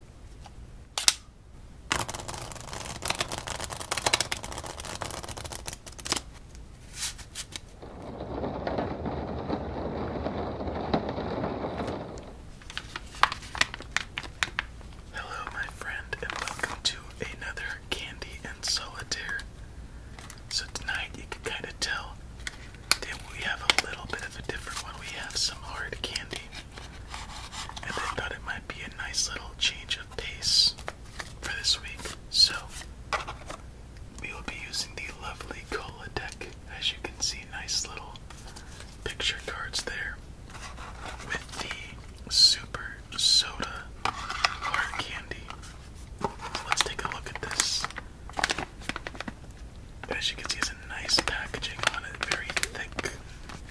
Hello, my friend, and welcome to another Candy and Solitaire. So, tonight you can kind of tell that we have a little bit of a different one. We have some hard candy and I thought it might be a nice little change of pace for this week. So, we will be using the lovely Cola deck. As you can see, nice little picture cards there with the super soda hard candy. Let's take a look at this. As you can see, it's a nice packaging on it, very thick.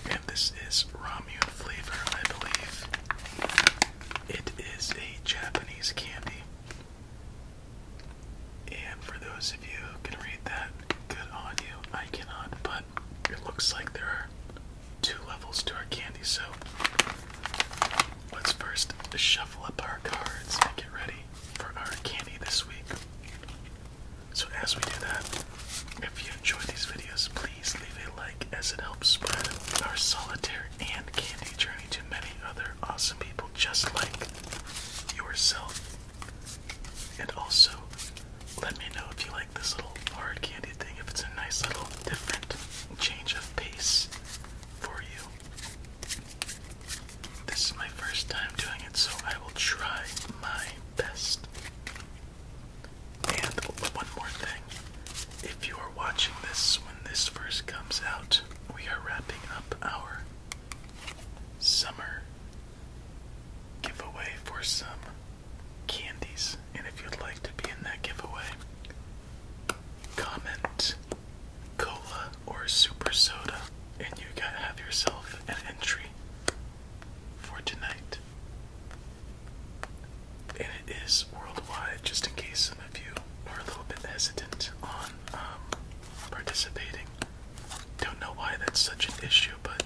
And this is ramyun flavor, I believe. It is a Japanese candy. And for those of you who can read that, good on you. I cannot, but it looks like there are two levels to our candy, so let's first shuffle up our cards and get ready for our candy this week. So as we do that, if you enjoy these videos, please leave a like as it helps spread our solitaire and candy journey to many other awesome people just like yourself. And also, let me know if you like this little hard candy thing, if it's a nice little different change of pace for you. This is my first time doing it, so I will try my best. And one more thing if you are watching this when this first comes out, we are wrapping up our summer giveaway for some candies. And if you'd like to be in that giveaway, comment cola or super soda, and you got to have yourself an entry for tonight. And it is worldwide, just in case some of you are a little bit hesitant on um, participating. Don't know why that's such an issue, but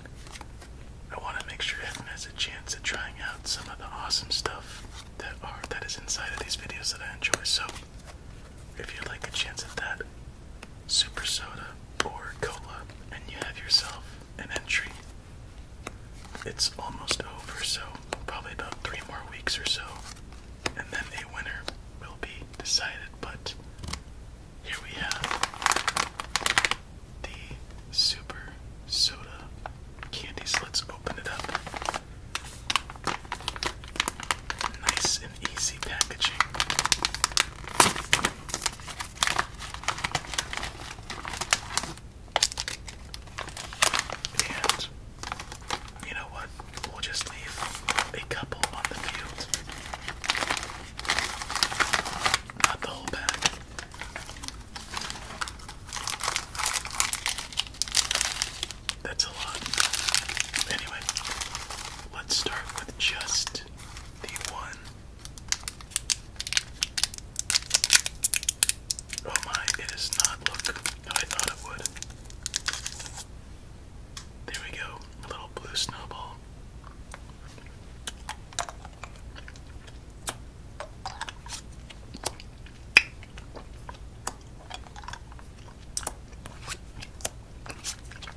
I want to make sure everyone has a chance at trying out some of the awesome stuff that are that is inside of these videos that I enjoy. So, if you'd like a chance at that, super soda, or cola, and you have yourself an entry. It's almost over, so probably about three more weeks or so, and then the winner will be decided. But here we have the super soda candies. let's open it up. Nice and easy packaging. And you know what? We'll just leave a couple on the field. Not the whole bag. That's a lot. Anyway, let's start with just the one Oh my, It is not look how I thought it would. There we go, a little blue snowball.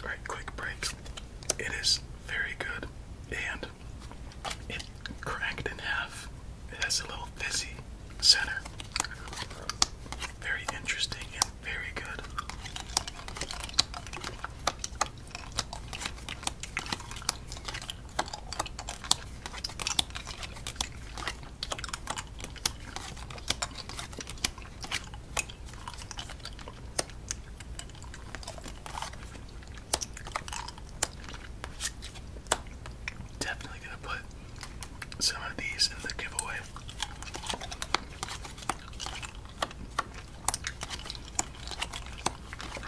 All right, quick break. It is very good, and it cracked in half. It has a little fizzy center. Very interesting and very good. Definitely gonna put some of these in the giveaway.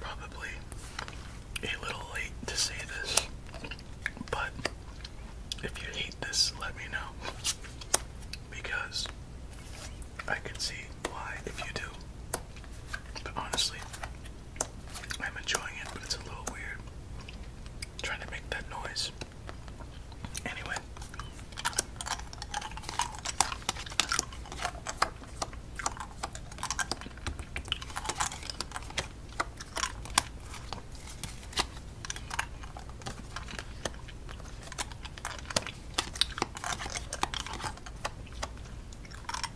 Probably a little late to say this, but if you hate this, let me know. Because I can see why if you do. But honestly, I'm enjoying it, but it's a little weird. trying to make that noise. Anyway.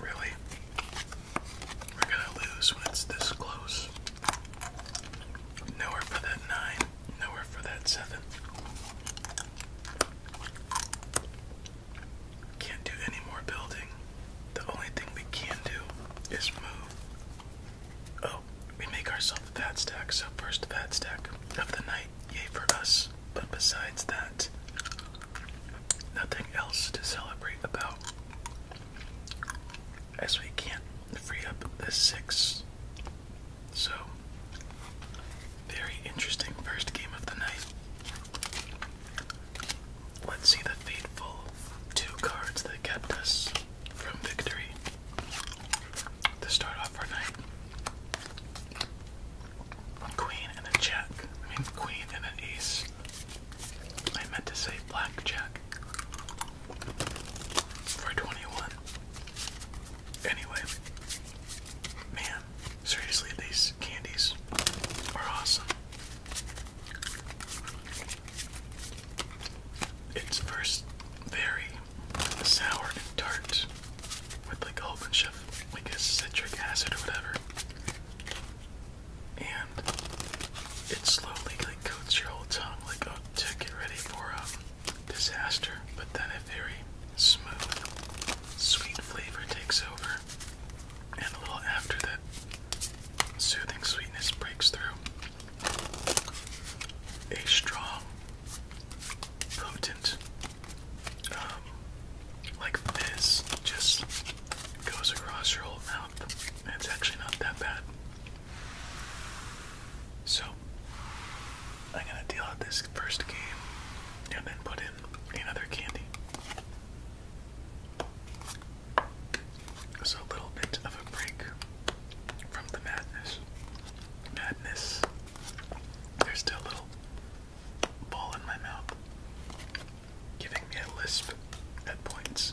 Really? We're gonna lose when it's this close. Nowhere for that nine, nowhere for that seven. Can't do any more building. The only thing we can do is move. Oh, we make ourselves a fat stack, so first fat stack of the night, yay for us. But besides that, nothing else to celebrate about. As we can't free up the six so, very interesting first game of the night. Let's see the fateful two cards that kept us from victory to start off our night. Queen and a jack. I mean, queen and an ace. I meant to say blackjack for 21. Anyway, man, seriously, these candies are awesome. It's first very sour and tart with like a whole bunch of like a citric acid or whatever. And it slowly like coats your whole tongue like oh, to get ready for um, disaster, but then a very smooth, sweet flavor takes over, and a little after that soothing sweetness breaks through. A strong, potent, um, like this just goes across your whole mouth, and it's actually not that bad. So, I'm gonna deal out this first game and then put in another candy. So a little bit of a break from the madness. Madness. There's still a little ball in my mouth, giving me a lisp at points.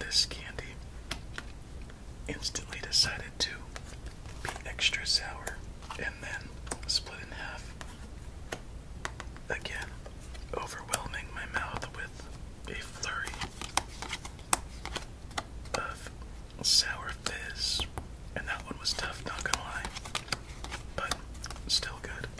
This candy instantly decided to be extra sour and then split in half. Again, overwhelming my mouth with a flurry of sour fizz. And that one was tough, not gonna lie, but still good.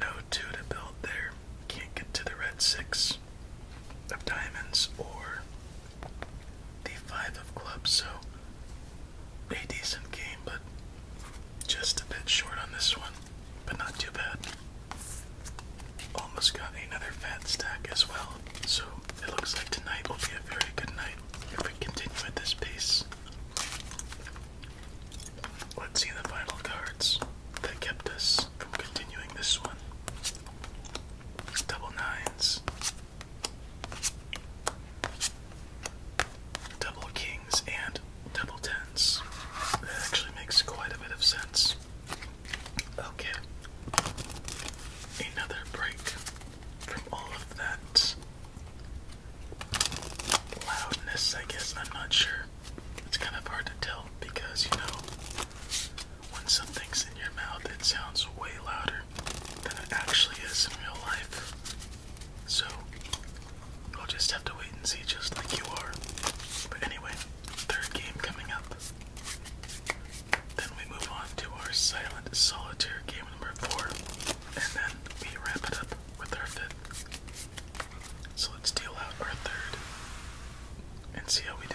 No two to build there. Can't get to the red six of diamonds or the five of clubs, so a decent game, but just a bit short on this one, but not too bad. Almost got another fat stack as well, so it looks like tonight will be a very good night if we continue at this pace. Let's see the final cards that kept us from continuing this one. Double nines, double kings and double tens. That actually makes quite a bit of sense. Okay. Another break from all of that loudness, I guess. I'm not sure. It's kind of hard to tell because, you know, when something's in your mouth, it sounds way louder than it actually is in real life. So we'll just have to wait and see, just like you are. But anyway, third game coming up. Then we move on to our silent solitaire game number four, and then we wrap it up with our fifth. So let's deal out our third and see how we do.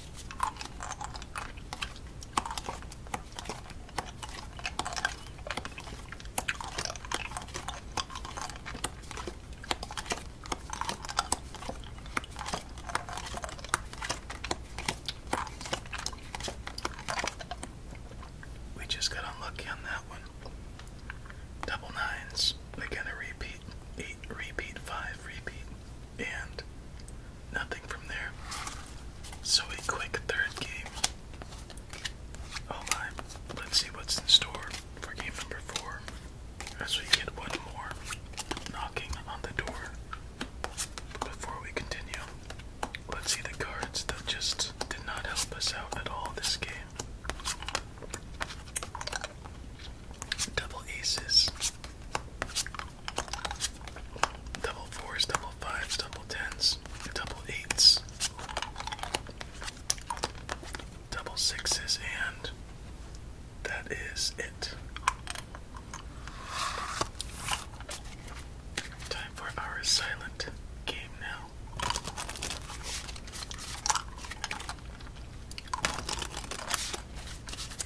We just got unlucky on that one. Double nines. Again, a repeat. Eight, repeat, five, repeat and nothing from there. So a quick third game. Oh my, let's see what's in store for game number four as we get one more knocking on the door. Before we continue, let's see the cards that just did not help us out at all this game. Double aces, double fours, double fives, double tens, double eights, double sixes, and that is it. Time for our silent game now.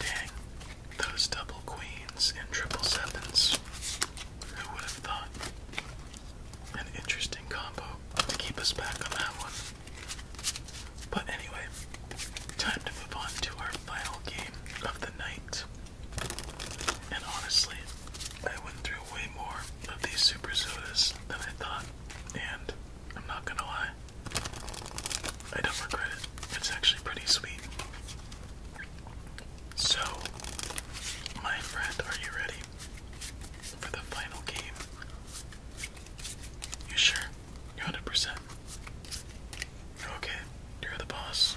Dang, those double queens and triple sevens. Who would have thought? An interesting combo keep us back on that one. But anyway, time to move on to our final game of the night. And honestly, I went through way more of these super than I thought and I'm not gonna lie, I don't regret it. It's actually pretty sweet. So, my friend, are you ready for the final game? You sure? You 100%? Okay, you're the boss.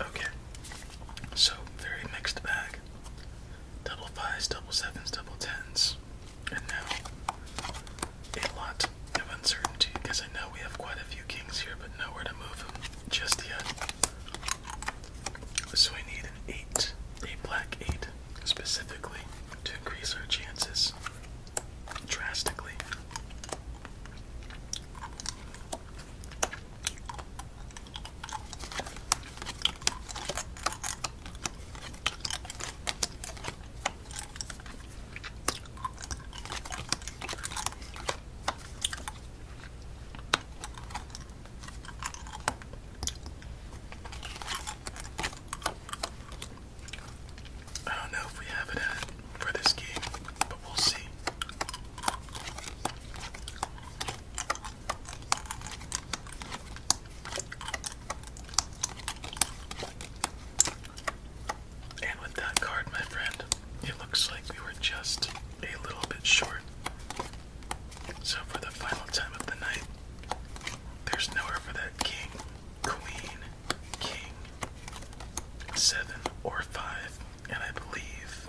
Okay, so very mixed bag. Double fives, double sevens, double tens. And now a lot of uncertainty because I know we have quite a few kings here, but nowhere to move just yet. So we need an 8, a black 8, specifically to increase our chances drastically. I don't know if we have it for this game, but we'll see. And with that card, my friend, it looks like we were just a little bit short. So, for the final time of the night, there's nowhere for that king, queen, king, seven, or five. And I believe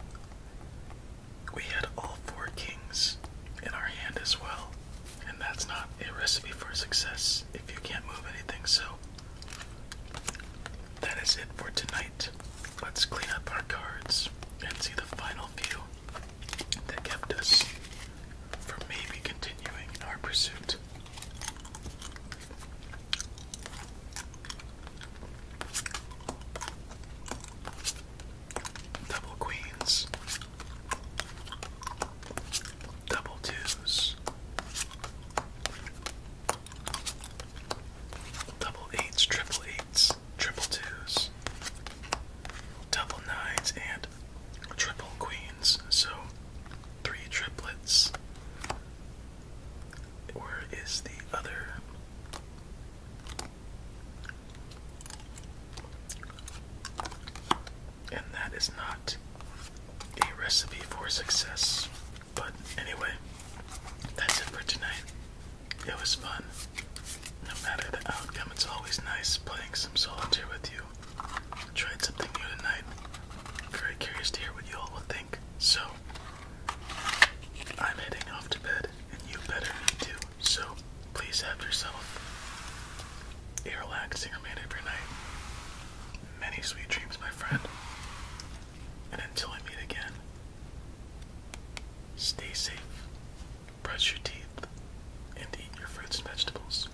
we had all four kings in our hand as well. And that's not a recipe for success if you can't move anything. So that is it for tonight. Let's clean up our cards and see the final few that kept us from maybe continuing our pursuit. Double queens, double twos, double eights, triple eights, triple twos, double nines, and triple queens. So three triplets. Where is the other? and that is not a recipe for success. But anyway, that's it for tonight. It was fun. No matter the outcome, it's always nice playing some solitaire with you. Tried something new tonight. Very curious to hear what you all will think. So, I'm heading off to bed, and you better need to. So, please have yourself Earwax singer made every night. Many sweet dreams, my friend. And until we meet again, stay safe, brush your teeth, and eat your fruits and vegetables.